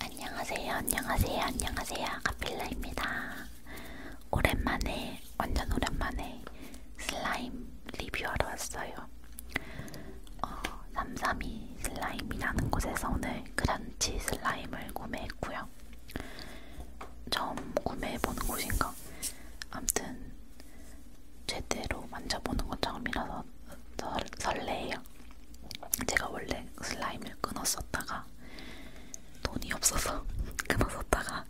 안녕하세요, 안녕하세요, 안녕하세요. 아카필라입니다. 오랜만에, 완전 오랜만에 슬라임 리뷰하러 왔어요. 어, 삼삼이 슬라임이라는 곳에서 오늘 크런치 슬라임을 구매했고요. 처음 구매해보는 곳인가? 아무튼 제대로 만져보는 건 처음이라서 설레요. 제가 원래 슬라임을 끊었었다가 돈이 없어서 끊었었다가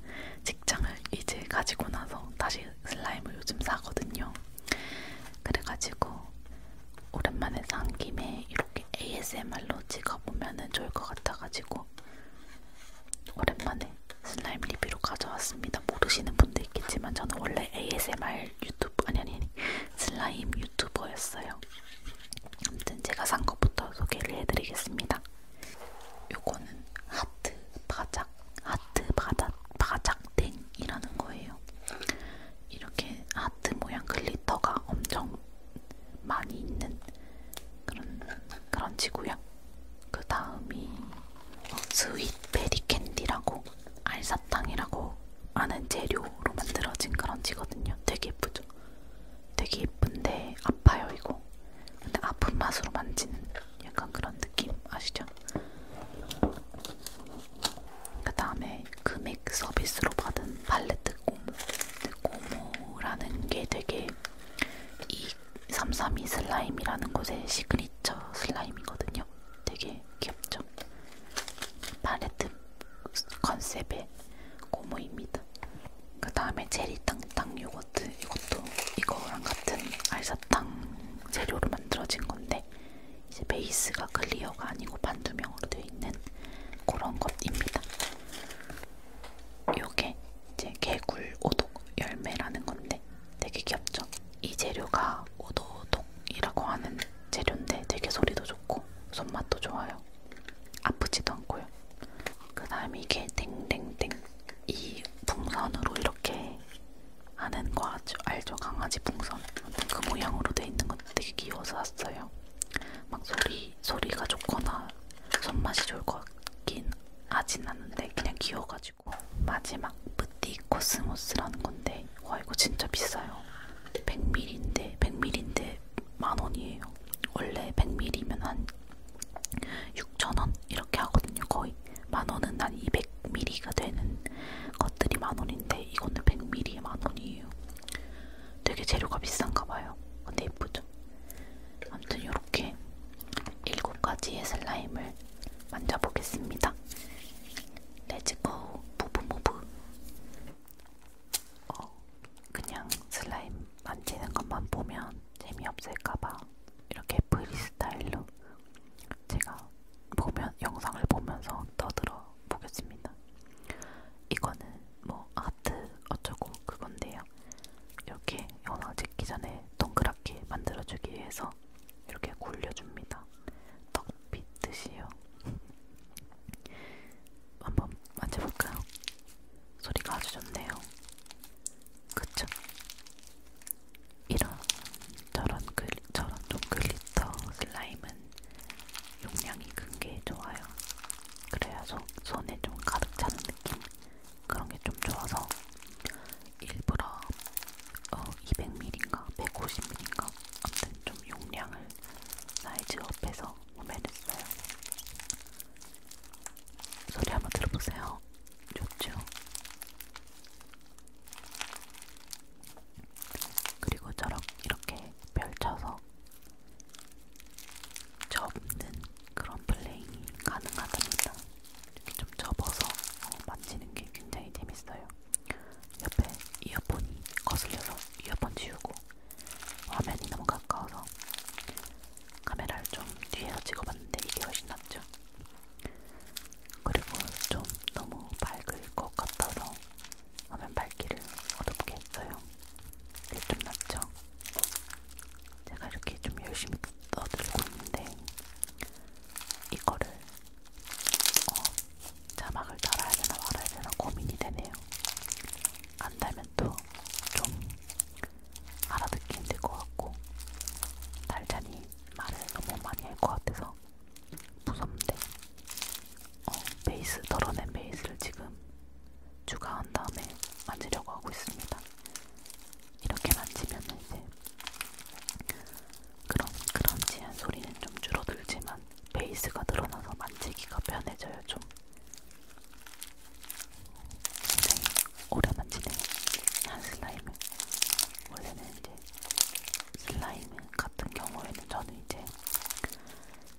직장을 이제 가지고 나서 다시 슬라임을 요즘 사거든요. 그래가지고 오랜만에 산 김에 이렇게 ASMR로 찍어보면 좋을 것 같아가지고 오랜만에 슬라임 리뷰로 가져왔습니다. 모르시는 분도 있겠지만 저는 원래 ASMR 유튜브 아니 아니 아니 슬라임 유튜버였어요. 아무튼 제가 산 것부터 소개를 해드리겠습니다. 요거는 하트 바작 하트 바작 바작땡이라는 거예요. 이렇게 하트 모양 글리터가 엄청 많이 있는 그런 그런 지구요. 그 다음이 스윗 베리 캔디라고 알사탕이라고 많은 재료로 만들어진 그런 지거든요. 되게 예쁘죠? 되게 예쁜데 아파요 이거. 근데 아픈 맛으로 만지는 약간 그런 느낌 아시죠? 그 다음에 금액 서비스로 받은 팔레트 고무. 고무라는 게 되게 이332 슬라임이라는 곳의 시그니처 슬라임이거든요. 되게 되게 귀엽죠? 팔레트 컨셉의 고무입니다. 그 다음에 체리 땅땅 요거트 이것도 이거랑 같은 알사탕 재료로 만들어진 건데 이제 베이스가 클리어가 아니고 반투명으로 되어 있는 그런 것입니다. 요게 이제 개굴 오독 열매라는 건데 되게 귀엽죠? 이 재료가 오도독이라고 하는 재료인데 되게 소리도 좋고 손맛도 좋아요. 아프지도 않고요. 그 다음에 이게 땡땡땡 이 풍선으로 이렇게 하는 거 아주 알죠? 강아지 풍선 그 모양으로 돼 있는 것도 되게 귀여워서 샀어요. 막 소리 소리가 좋거나 손맛이 좋을 것 같긴 하진 않는데 그냥 귀여워가지고 마지막 뿌 뷰티 코스모스라는 건데 와 이거 진짜 비싸요 100ml인데 100ml인데 만원이에요 원래 100ml면 한 6천원 이렇게 하거든요 거의 만원은 한 200ml가 되는 것들이 만원인데 이거는 100ml에 만원이에요 되게 재료가 비싼가봐요 근데 예쁘죠 아무튼 이렇게 7가지의 슬라임을 만져보겠습니다 레츠고 무브무브 어, 그냥 슬라임 만지는 것만 보면 재미없을까봐 이렇게 프리스타일로 제가 보면 영상을 보면서 떠들어 보겠습니다. 이거는 뭐 하트 어쩌고 그건데요. 이렇게 영상 찍기 전에 동그랗게 만들어주기 위해서 해서 이렇게 굴려줍니다. 떡빛듯이요. 한번 만져볼까요? 소리가 아주 좋네요. 그쵸? 이런 저런 글리, 저런 좀 글리터 슬라임은 용량이 큰 게 좋아요. 그래야 손, 손에 좀 가득 차는 느낌 그런 게 좀 좋아서 일부러 어, 200ml인가 150ml인가 아무튼 좀 용량을 사이즈업해서 구매했어요. 소리 한번 들어보세요. 좋죠? 그리고 저렇게 이렇게 펼쳐서 접는 그런 플레잉이 가능하답니다. 이렇게 좀 접어서 어, 만지는 게 굉장히 재밌어요. 옆에 이어폰이 거슬려서 이어폰 지우고 화면이 너무 가까워서 카메라를 좀 뒤에서 찍어봤는데 이게 훨씬 낫죠. 그리고 좀 너무 밝을 것 같아서 화면 밝기를 어둡게 했어요. 이게 좀 낫죠? 제가 이렇게 좀 열심히 떠들고 있는데 이거를 어, 자막을 달아야 되나 말아야 되나 고민이 되네요. 안 달면 또 좀 알아듣기 힘들 것 같고 달자니 말을 너무 많이 할 것 같아서 무섭는데 어, 베이스 덜어낸 베이스를 지금 추가한 다음에 만지려고 하고 있습니다. 이렇게 만지면 이제 그런 그런지한 소리는 좀 줄어들지만 베이스가 늘어나서 만지기가 편해져요 좀. 굉장히 오래 만지네요. 한 슬라임을. 원래는 이제 슬라임 같은 경우에는 저는 이제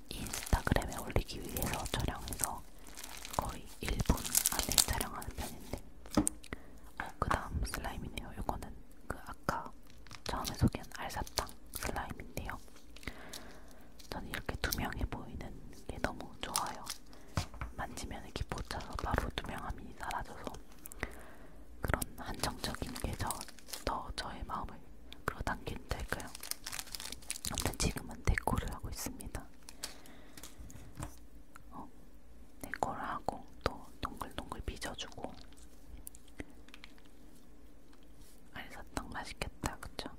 인스타그램에 올리기 위해서 촬영해서 거의 1분 안에 촬영하는 편인데 어, 그 다음 슬라임이네요. 이거는 그 아까 처음에 소개한 알사탕 슬라임인데요. 저는 이렇게 투명해 보이는 게 너무 좋아요. 만지면 이렇게 보차서 바로 투명함이 사라져서 그런 한정적인 게 더 저의 마음을 끌어당긴 될까요? 아무튼 지금은 데코를 하고 있습니다. 어, 내걸 하고 또 동글동글 빚어주고 알사탕 맛있겠다 그쵸?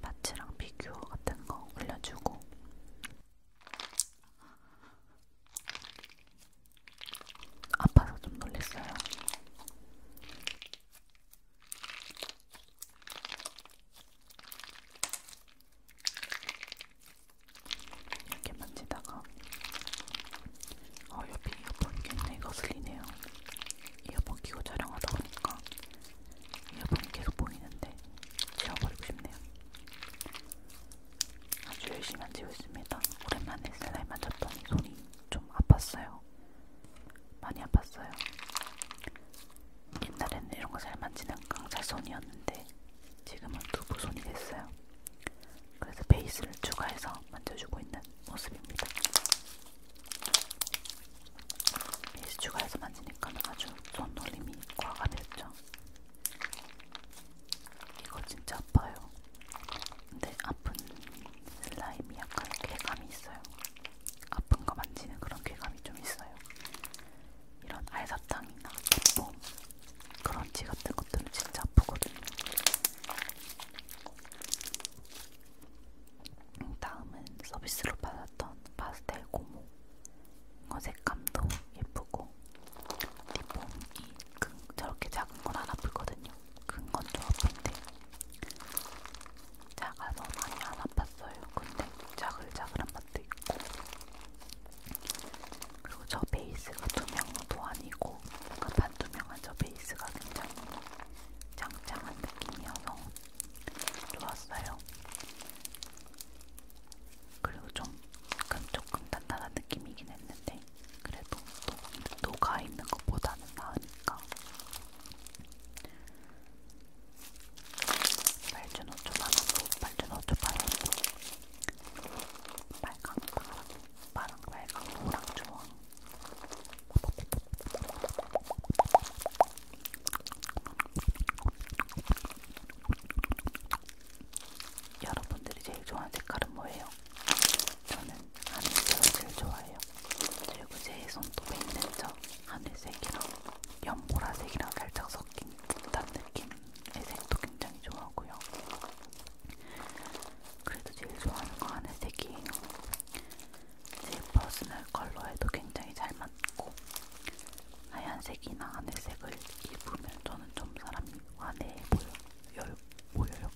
파츠랑 비교어 같은 거 올려주고 아파서 좀 놀랬어요. 이렇게 만지다가 어 옆에 이어폰 굉장히 거슬리네요. 이어폰 끼고 촬영하다 보니까 이어폰이 계속 보이는데 지워버리고 싶네요. 아주 열심히 만지고 있습니다. 오랜만에 슬라임 만졌더니 손이 좀 아팠어요. 많이 아팠어요. 옛날에는 이런 거 잘 만지는 강철손이었는데 지금은 두부손이 됐어요. 그래서 베이스를 추가해서 만져주고 있는 모습입니다. 베이스 추가해서 만지니까 아주 손놀림이 과가 됐죠. 이거 진짜 아파요. 근데 아픈 슬라임이 약간 쾌감이 있어요. 아픈 거 만지는 그런 쾌감이 좀 있어요. 이런 알사탕이나 뭐 그런지 같은 것들은 진짜 아프거든요. 음, 다음은 서비스로 받았던 파스텔 고무. 이거 색감도 예쁘고 립폼이 큰, 저렇게 작은 건 안 아프거든요. 큰건좀 아픈데 작아서 많이 안 아팠어요. 근데 자글자글한 맛도 있고 그리고 저 베이스가 투명도 아니고 뭔가 반투명한 저 베이스가 굉장히 짱짱한 느낌이어서 좋았어요. 그리고 좀 약간 조금 단단한 느낌이긴 했는데 그래도 또 녹아 있는 것보다는 나으니까 발주노초 만원도 발주노초 반원도 빨강, 파랑, 파랑, 빨강, 노랑, 주황 여러분들이 제일 좋아하는 색깔은 뭐예요? 저는 하늘색을 제일 좋아해요. 그리고 제 손톱에 있는 저 하늘색이랑 연보라색이랑 살짝 섞인 듯한 느낌 회색도 굉장히 좋아하고요. 그래도 제일 좋아하는 거 하늘색이에요. 제 퍼스널 컬러에도 굉장히 잘 맞고 하얀색이나 하늘색을 입으면 저는 좀 사람이 화내해 보여, 열, 보여요.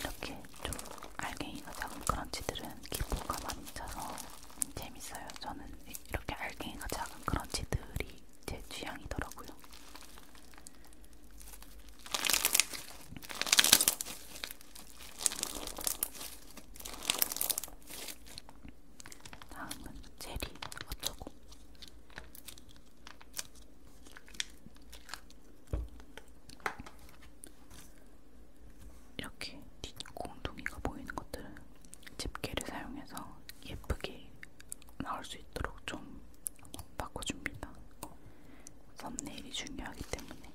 이렇게 좀 알갱이가 작은 크런치들은 기포가 많이 차서 재밌어요. 저는 이렇게 알갱이가 작은 크런치들이 제 취향이더라고요. 다음은 제리 어쩌고 이렇게 뒷공둥이가 보이는 것들은 집게를 사용해서 예쁘게 나올 수 있도록 좀 바꿔줍니다. 썸네일이 중요하기 때문에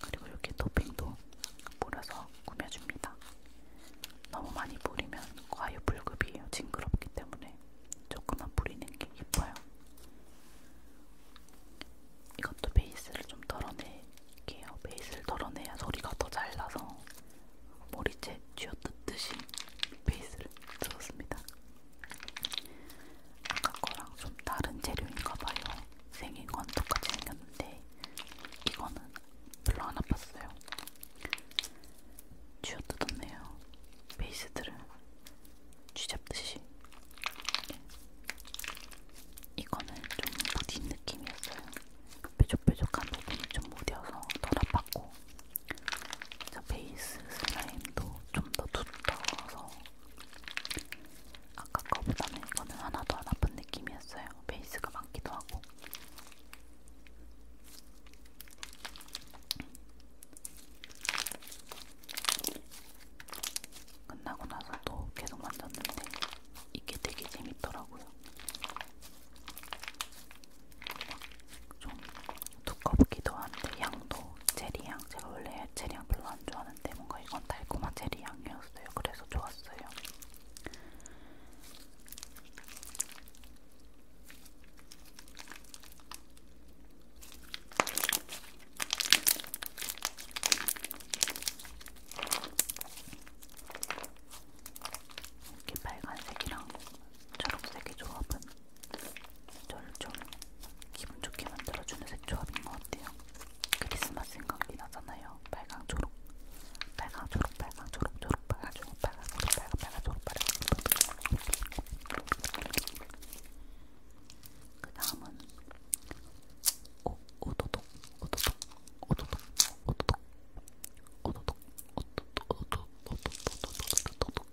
그리고 이렇게 토핑도 몰아서 꾸며줍니다. 너무 많이 뿌리면 과유불급이에요. 징그럽기 때문에 조금만 뿌리는 게 예뻐요. 이것도 베이스를 좀 덜어낼게요. 베이스를 덜어내야 소리가 더 잘 나서 머리채 쥐어뜯듯이 베이스를 들었습니다. 아까 거랑 좀 다른 재료인가봐요. 생긴 건 똑같이 생겼는데 이거는 별로 안 아팠어요. 쥐어뜯었네요. 베이스들을 쥐잡듯이 이거는 좀 무딘 느낌이었어요. 뾰족뾰족한 부분이 좀 무뎌서 덜 아팠고 저 베이스 슬라임도 좀 더 두터워서 아까 거보다는 이거는 하나도 안 아픈 느낌이었어요. 베이스가 많기도 하고 끝나고 나서 또 계속 만졌는데 이게 되게 재밌더라고요. 좀 두껍기도 한데 향도 체리향 제가 원래 체리향 별로 안 좋아하는데 뭔가 이건 달콤한 체리향이었어요. 그래서 좋았어요. 이렇게 빨간색이랑 초록색의 조합은 저를 좀 기분 좋게 만들어주는 색 조합인 것 같아요. 크리스마스 생각이 나잖아요. 빨강 초록, 빨강 초록, 빨강 초록, 초록 빨강 초록, 빨강 초록, 빨강 빨강 초록, 빨강 초록. 그 다음은 오, 오도독, 오도독, 오도독, 오도독, 오도독, 오도독, 오도독, 오도독, 오도독.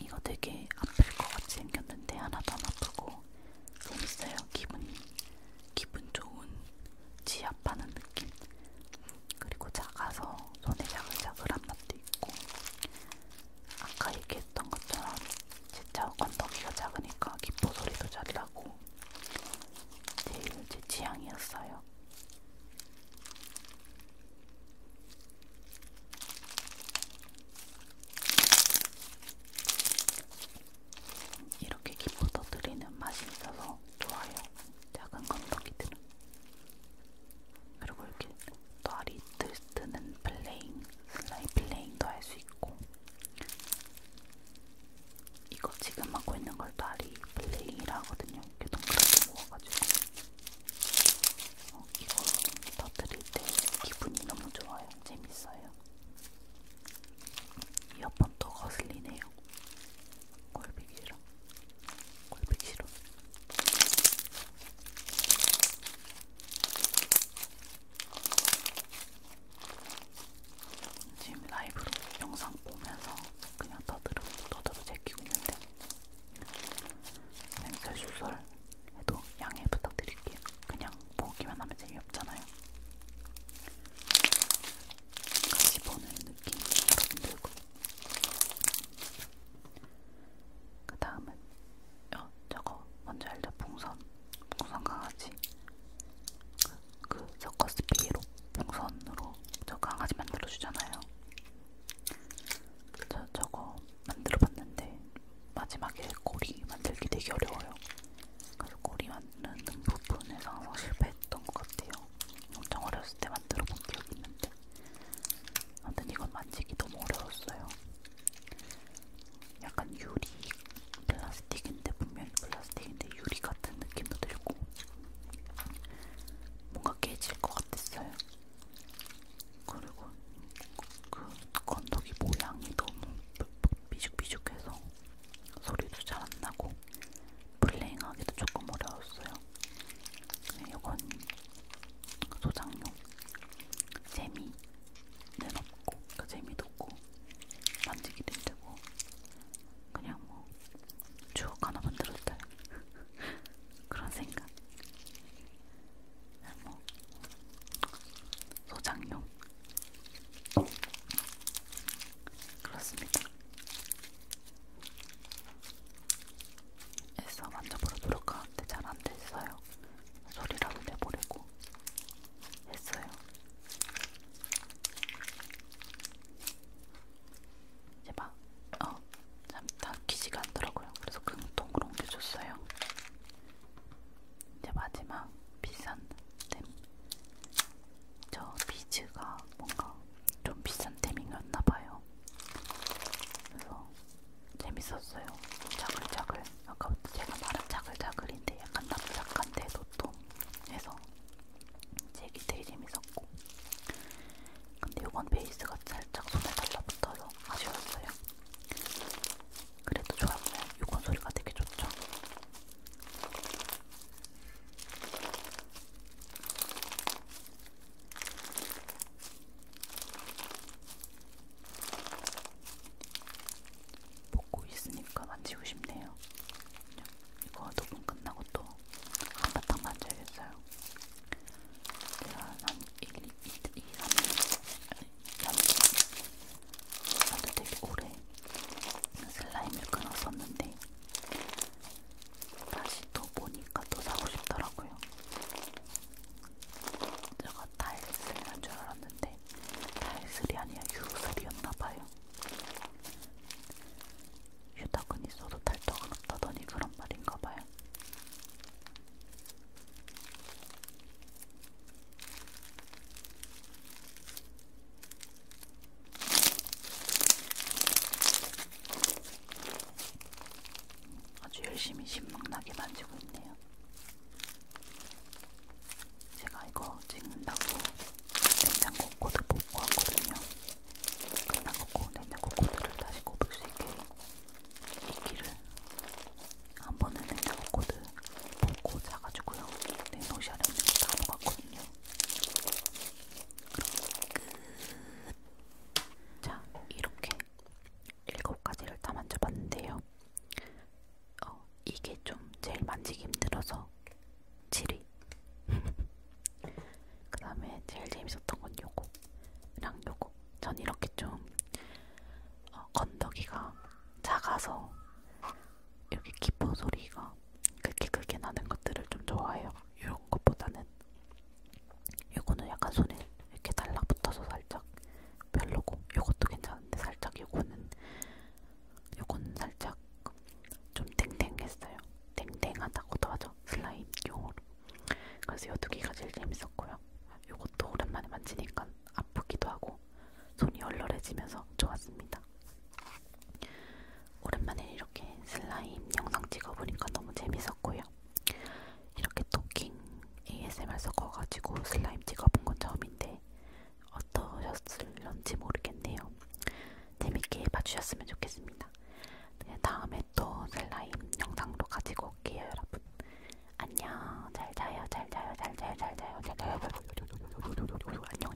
이거 되게 아플 것 같이 생겼는데 하나도 안 아프고 재밌어요. 기분, 기분 좋은 지압하는 느낌. 그리고 작아서 손에 자글자글한 맛도 있고 아까 얘기했던 것처럼 진짜 건더기가 작으니까 기포 소리도 잘 나고 제일 제 취향이었어요. 이렇게 기포도 드리는 맛이 있어서 좋아요. 작은 건더기들은 그리고 이렇게 또 아리 트위스트는 플레잉, 슬라이 플레잉도 할 수 있고 이거 지금 하고 있는 걸또 아리 플레잉이라 하거든요. 이렇게 동그랗게 모아가지고 어, 이거 터뜨릴 때 기분이 너무 좋아요. 재밌어요. 이어폰 또 거슬리네요. 꼴보기 싫어. 꼴보기 싫어. 지금 라이브로 영상 보면서 그냥 떠들어 떠들어 제끼고 있는데 냄새 수설 해도 양해 부탁드릴게요. 그냥 보기만 하면 재미없잖아요. 같이 보는 느낌 여러분들고 그 다음은 어, 저거 뭔지 알죠? 풍선, 풍선 강아지. 그, 그 서커스 피에로 풍선으로 저 강아지 만들어 주잖아요. 저 저거 만들어 봤는데 마지막에 꼬리 만들기 되게 어려워요. 그래서 꼬리 만드는 부분에서 항상 실패했던 것 같아요. 엄청 어렸을 때 만들어 본 기억이 있는데 아무튼 이건 만지기 너무 어려웠어요. 약간 유리 플라스틱인데 분명히 플라스틱인데 유리 같은 느낌도 들고 뭔가 깨질 것 같았어요. 그리고 그 건더기 모양이 너무 삐죽삐죽해서 소리도 잘 안 나고 플레잉하기도 조금 어려웠어요. 네, 이건 소장용 재미는 없고 그러니까 재미도 없고 만지기도 힘들고 그냥 뭐 추억 하나 만들었다 그런 생각 뭐 소장용 그렇습니다. 애써 만져보려 노력하는데 잘안 됐어요. 소리라도 내보려고 했어요. 제발, 어, 참다 키지가 않더라고요. 그래서 금통으로 옮겨줬어요. 이제 마지막 비싼 템. 저 비즈가 뭔가 좀 비싼 템이었나봐요. 그래서 재밌었어요. 자글자글. 아까부터 제가 말한 자글자글인데 약간 납작한데 도톰해서 제기 되게 재밌었고. 근데 이건 베이스가 살짝 손에 달라붙어서 아쉬웠어요. 그래도 좋았어요. 이건 소리가 되게 좋죠. 먹고 있으니까 만지고 싶네요. 이거 녹음 끝나고 또 한바탕 만져야겠어요. 제가 한 1, 2, 2 3일 남도 되게 오래 슬라임을 끊었었는데 다시 또 보니까 또 사고 싶더라고요. 제가 달슬인 줄 알았는데 달슬이 아니라 유슬이었나봐요. 유닭은 있어도 달떡은 없다더니 그런 말인가봐요. 아주 열심히 신명나게 만지고 있네요. 제가 이거 찍는다고 냉장고 코드 뽑고 왔거든요. 끝나고 냉장고 코드를 다시 꼽을 수 있게 이끼를 한 번은 냉장고 코드 뽑고 자가지고요. 내 네, 노시 안에 있는 거다 녹았거든요. 그럼 끝. 자, 이렇게 일곱 가지를 다 만져봤는데요. 어, 이게 좀 제일 만지기 힘들어서 7위. 그 다음에 제일 재밌었던 건 요거랑 요거. 전 이렇게 좀 어, 건더기가 작아서 이렇게 기포 소리가 그렇게 크게 나는 것들을 좀 좋아해요. 이런 것보다는 요거는 약간 손에 이렇게 달라붙어서 살짝 별로고 요것도 괜찮은데 살짝 요거는 요거는 살짝 좀 땡땡했어요. 땡땡하다고도 하죠. 슬라임 용어로. 그래서 요두 개가 제일 재밌었고요. 요것도 오랜만에 만지니까 아프기도 하고 손이 얼얼해지면서 좋았습니다. 오랜만에 이렇게 슬라임 영상 찍어보니까 너무 재밌었고요. 이렇게 토킹 ASMR 섞어가지고 슬라임 찍어본 건 처음인데 어떠셨을런지 모르겠네요. 재밌게 봐주셨으면 좋겠습니다. 네, 다음에 또 슬라임 영상도 가지고 올게요, 여러분. 안녕, 잘 자요, 잘 자요, 잘 자요, 잘 자요, 잘 자요. 안녕.